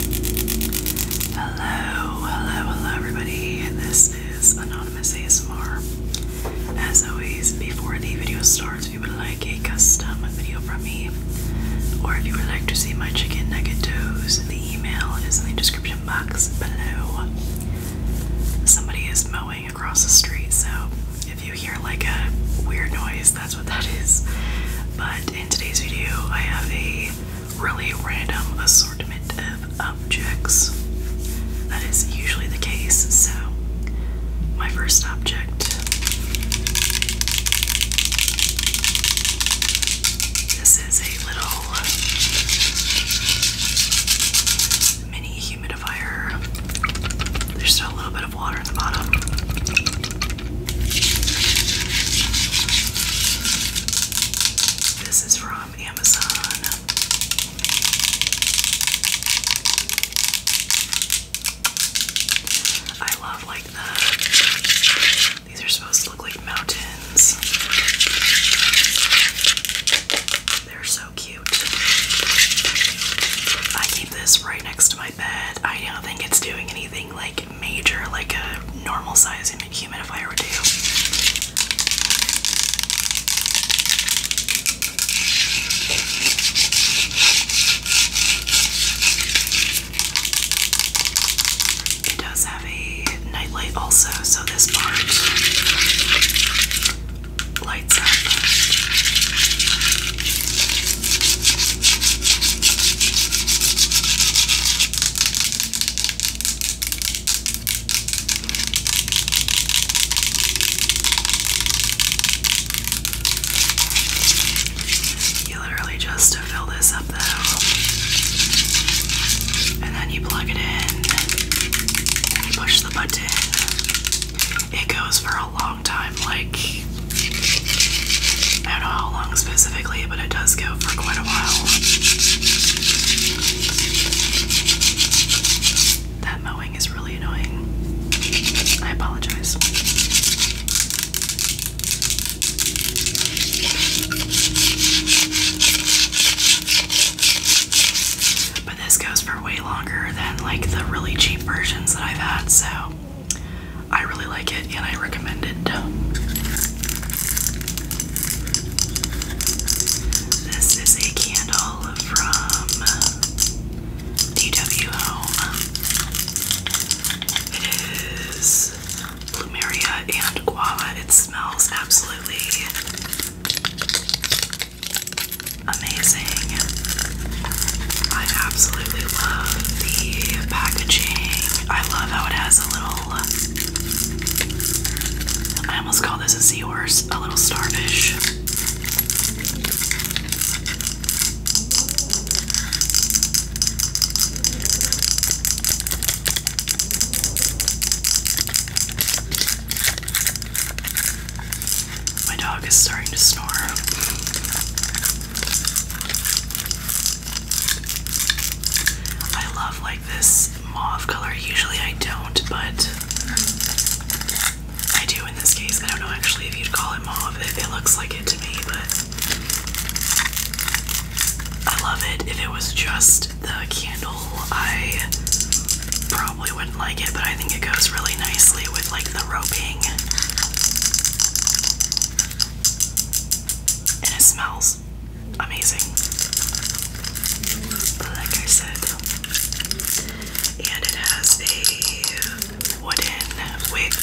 Hello, hello, hello, everybody. This is Anonymous ASMR. As always, before the video starts, if you would like a custom video from me, or if you would like to see my chicken nugget toes, the email is in the description box below. Somebody is mowing across the street, so if you hear like a weird noise, that's what that is. But in today's video, I have a really random assortment of objects. That is usually the case, so my first object. This is a little mini humidifier. There's still a little bit of water in the bottom. This is from Amazon. I love like the these are supposed to look like mountains. They're so cute. I keep this right next to my bed. I don't think it's doing anything like major like a normal sized humidifier would do. It does have a nightlight also, so this part lights up. You literally just fill this up though, and then you plug it in, you push the button. It goes for a long like I don't know how long specifically, but it does go for quite a while. That mowing is really annoying. I apologize. But this goes for way longer than like the really cheap versions that I've had, so I really like it and I recommend it. This is a candle from DW It is Plumeria and Guava. It smells absolutely amazing. I absolutely love the packaging. I love how it has a little, I almost call this a seahorse, a little starfish. My dog is starting to snore. I love like this mauve color. Usually I don't, but I do in this case. I don't know actually if you'd call it mauve. It, looks like it to me, but I love it. If it was just the candle, I probably wouldn't like it, but I think it goes really nicely with like the ropey and it smells amazing. Like I said. And it has a wooden wick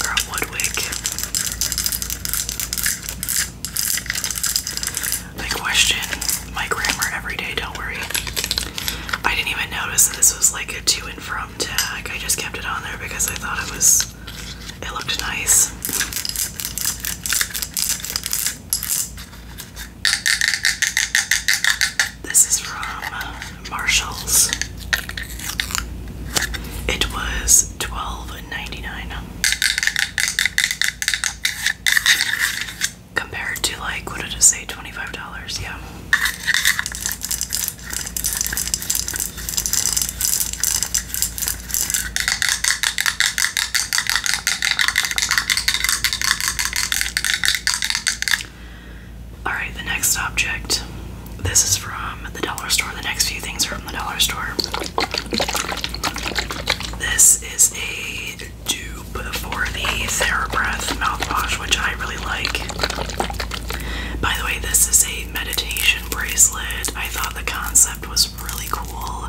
or wood wick. I question my grammar every day, don't worry. I didn't even notice that this was like a to and from tag. I just kept it on there because I thought it was, it looked nice. This is from Marshalls. It was twelve ninety nine compared to like what did I say $25 yeah all right the next object this is from the dollar store the next few things are from the dollar store this is a dupe for the Sarah TheraBreath mouthwash, which I really like. By the way, this is a meditation bracelet. I thought the concept was really cool.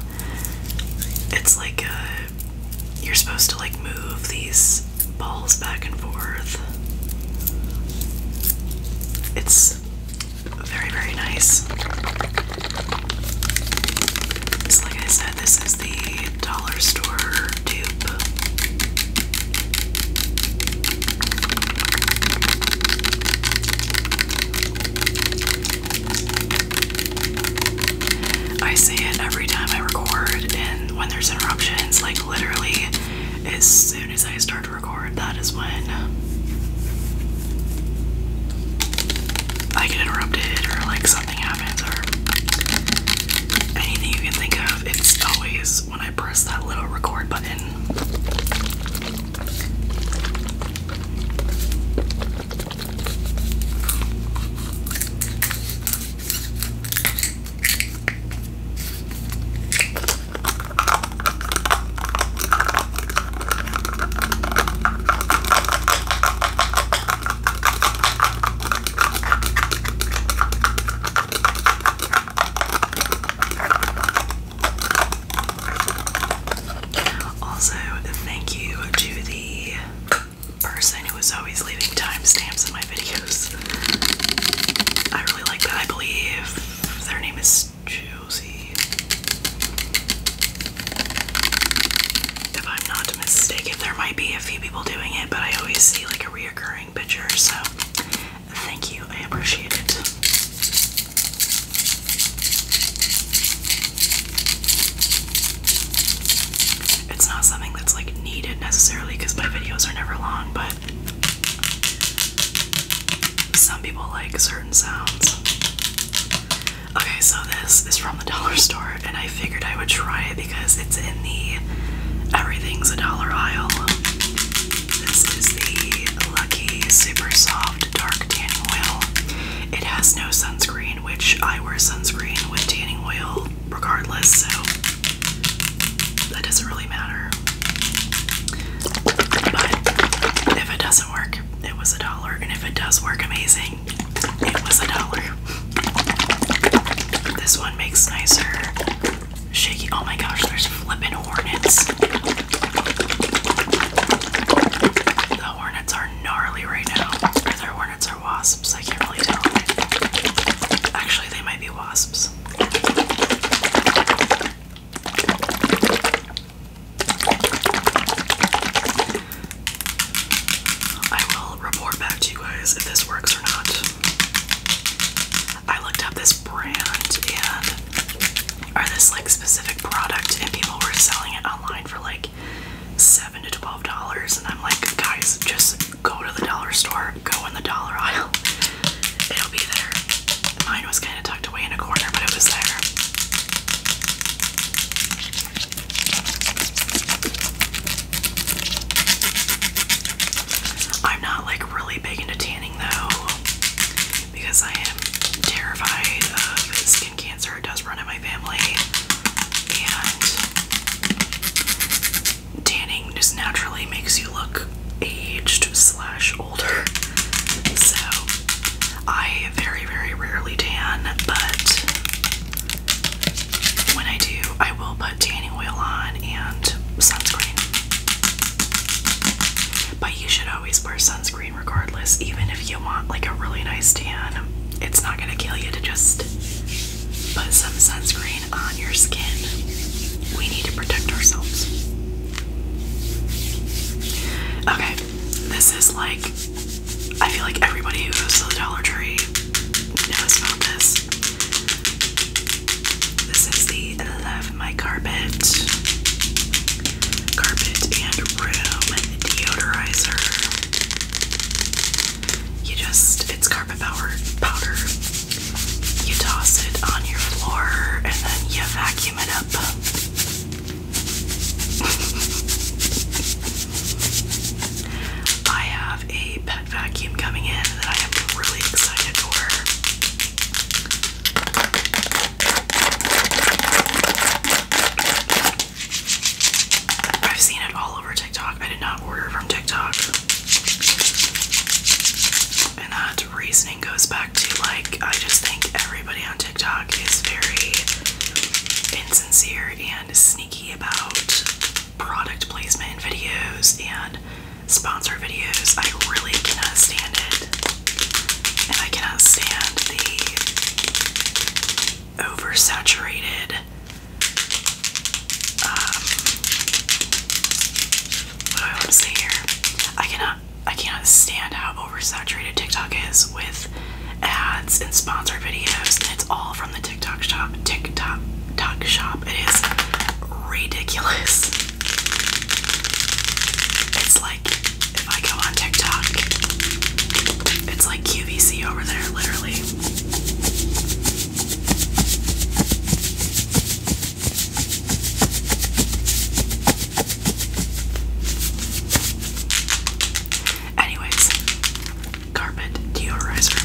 It's like uh, you're supposed to like move these balls back and forth. It's very, very nice. So like I said, this is the dollar store tube. I say it every time I record, and when there's interruptions, like literally, as soon as I start to record, that is when I get interrupted, or like something happens or anything you can think of, it's always when I press that little record button. Also, thank you to the person who is always leaving timestamps in my videos. I really like that. I believe their name is Josie. If I'm not mistaken, there might be a few people doing it, but I always see like a reoccurring picture, so thank you, I appreciate it. It's not something that's like needed necessarily because my videos are never long, but some people like certain sounds. Okay, so this is from the dollar store, and I figured I would try it because it's in the everything's a dollar aisle. This is the Lucky Super Soft Dark Tanning Oil. It has no sunscreen, which I wear sunscreen with tanning oil regardless, so that doesn't really matter. But if it doesn't work, it was a dollar, and if it does work, amazing it was a dollar. This one makes nicer shaky. Oh my gosh, there's flipping hornets. The hornets are gnarly right now. Are there hornets or wasps? I can't really tell. Actually, they might be wasps. I will report back to you guys if this works or not. I looked up this brand and or this like specific product and people were selling it online for like seven to twelve dollars and I'm like guys just go to the dollar store, go in the dollar aisle. It'll be there. Mine was kinda tucked away in a corner, but it was there. I'm not like really big into tanning though because I am terrified of skin cancer. It does run in my family. And tanning just naturally makes you look aged slash older. So I very, very rarely tan, but when I do, I will put tanning oil on and sunscreen. But you should always wear sunscreen regardless, even if you want like a really nice tan. It's not gonna kill you to just put some sunscreen on your skin. We need to protect ourselves. Okay, this is like, I feel like everybody who goes to the Dollar Tree knows about this. This is the Love My Carpet, Carpet and Room Deodorizer. You just, it's carpet powder. powder. You toss it on your floor and then you vacuum it up. I have a pet vacuum coming in that I am really excited for. I've seen it all over TikTok. I did not order from TikTok. And that reasoning goes back to like, I just think everybody on TikTok is very insincere and sneaky about product placement videos and sponsor videos. I really cannot stand it. And I cannot stand the oversaturated um, what do I want to say here? I cannot I can't stand how oversaturated TikTok is with ads and sponsored videos, and it's all from the TikTok shop. TikTok talk shop. It is ridiculous. It's like if I go on TikTok, it's like QVC over there, literally. Anyways, carpet deodorizer.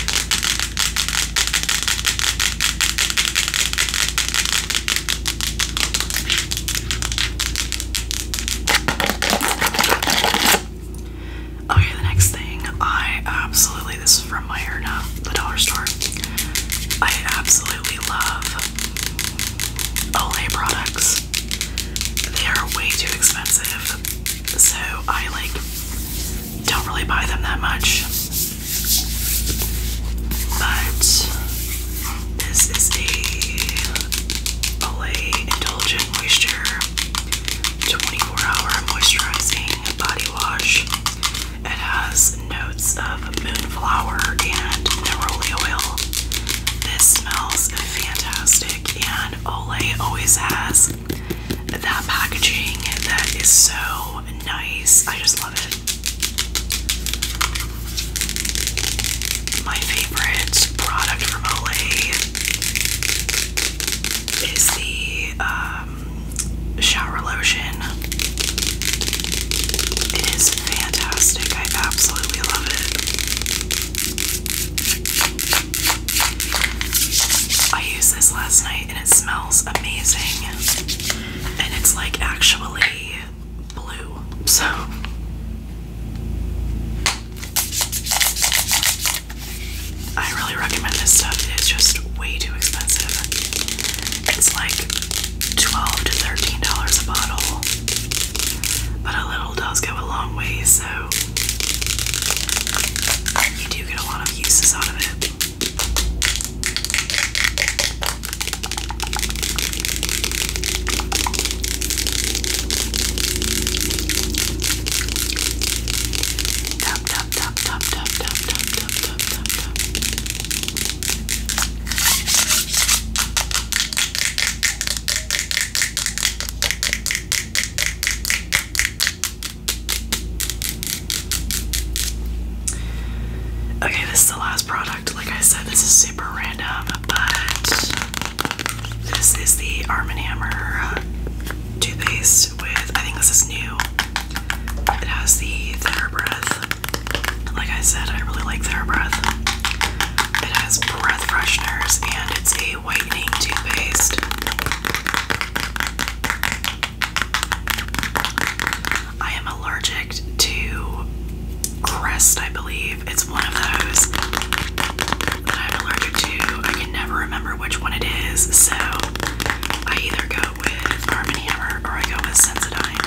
Okay, the next thing I absolutely this is from my hair now, the dollar store. I absolutely absolutely love Olay products. They are way too expensive, so I like don't really buy them that much. But this is the Olay Indulgent Moisture 24 Hour Moisturizing Body Wash. It has no of moonflower and neroli oil. This smells fantastic, and Olay always has that packaging that is so nice. I just love it. My favorite product from Olay is the um, shower lotion it is fantastic. I absolutely love it. I used this last night and it smells amazing. And it's like actually blue. So I really recommend this stuff. It is just way too expensive. It's like twelve to thirteen dollars a bottle. But a little does go a long way, so you do get a lot of uses out of it. Tap tap tap tap tap tap tap Okay, this is the last product. Like I said, this is super random, but this is the Arm & Hammer toothpaste with, I think this is new. It has the thinner breath. Like I said, I really like thinner breath. It has breath fresheners and it's a whitening toothpaste. I am allergic to Crest, I believe. It's one of those that I'm allergic to. I can never remember which one it is, so I either go with Arm & Hammer or I go with Sensodyne.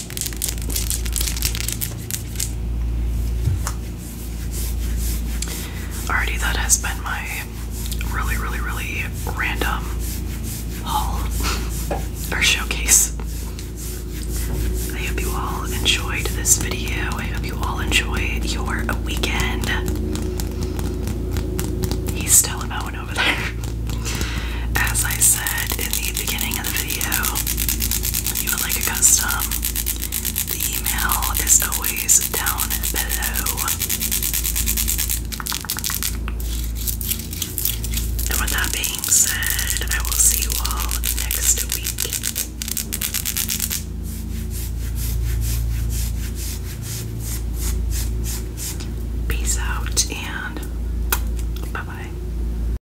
Alrighty, that has been my really, really, really random haul or showcase. I hope you all enjoyed this video. I hope you all enjoy your weekend. He's still mowing over there. As I said in the beginning of the video, you would like a custom, the email is always down below. And with that being said, I will see you all next week. Peace out and bye bye.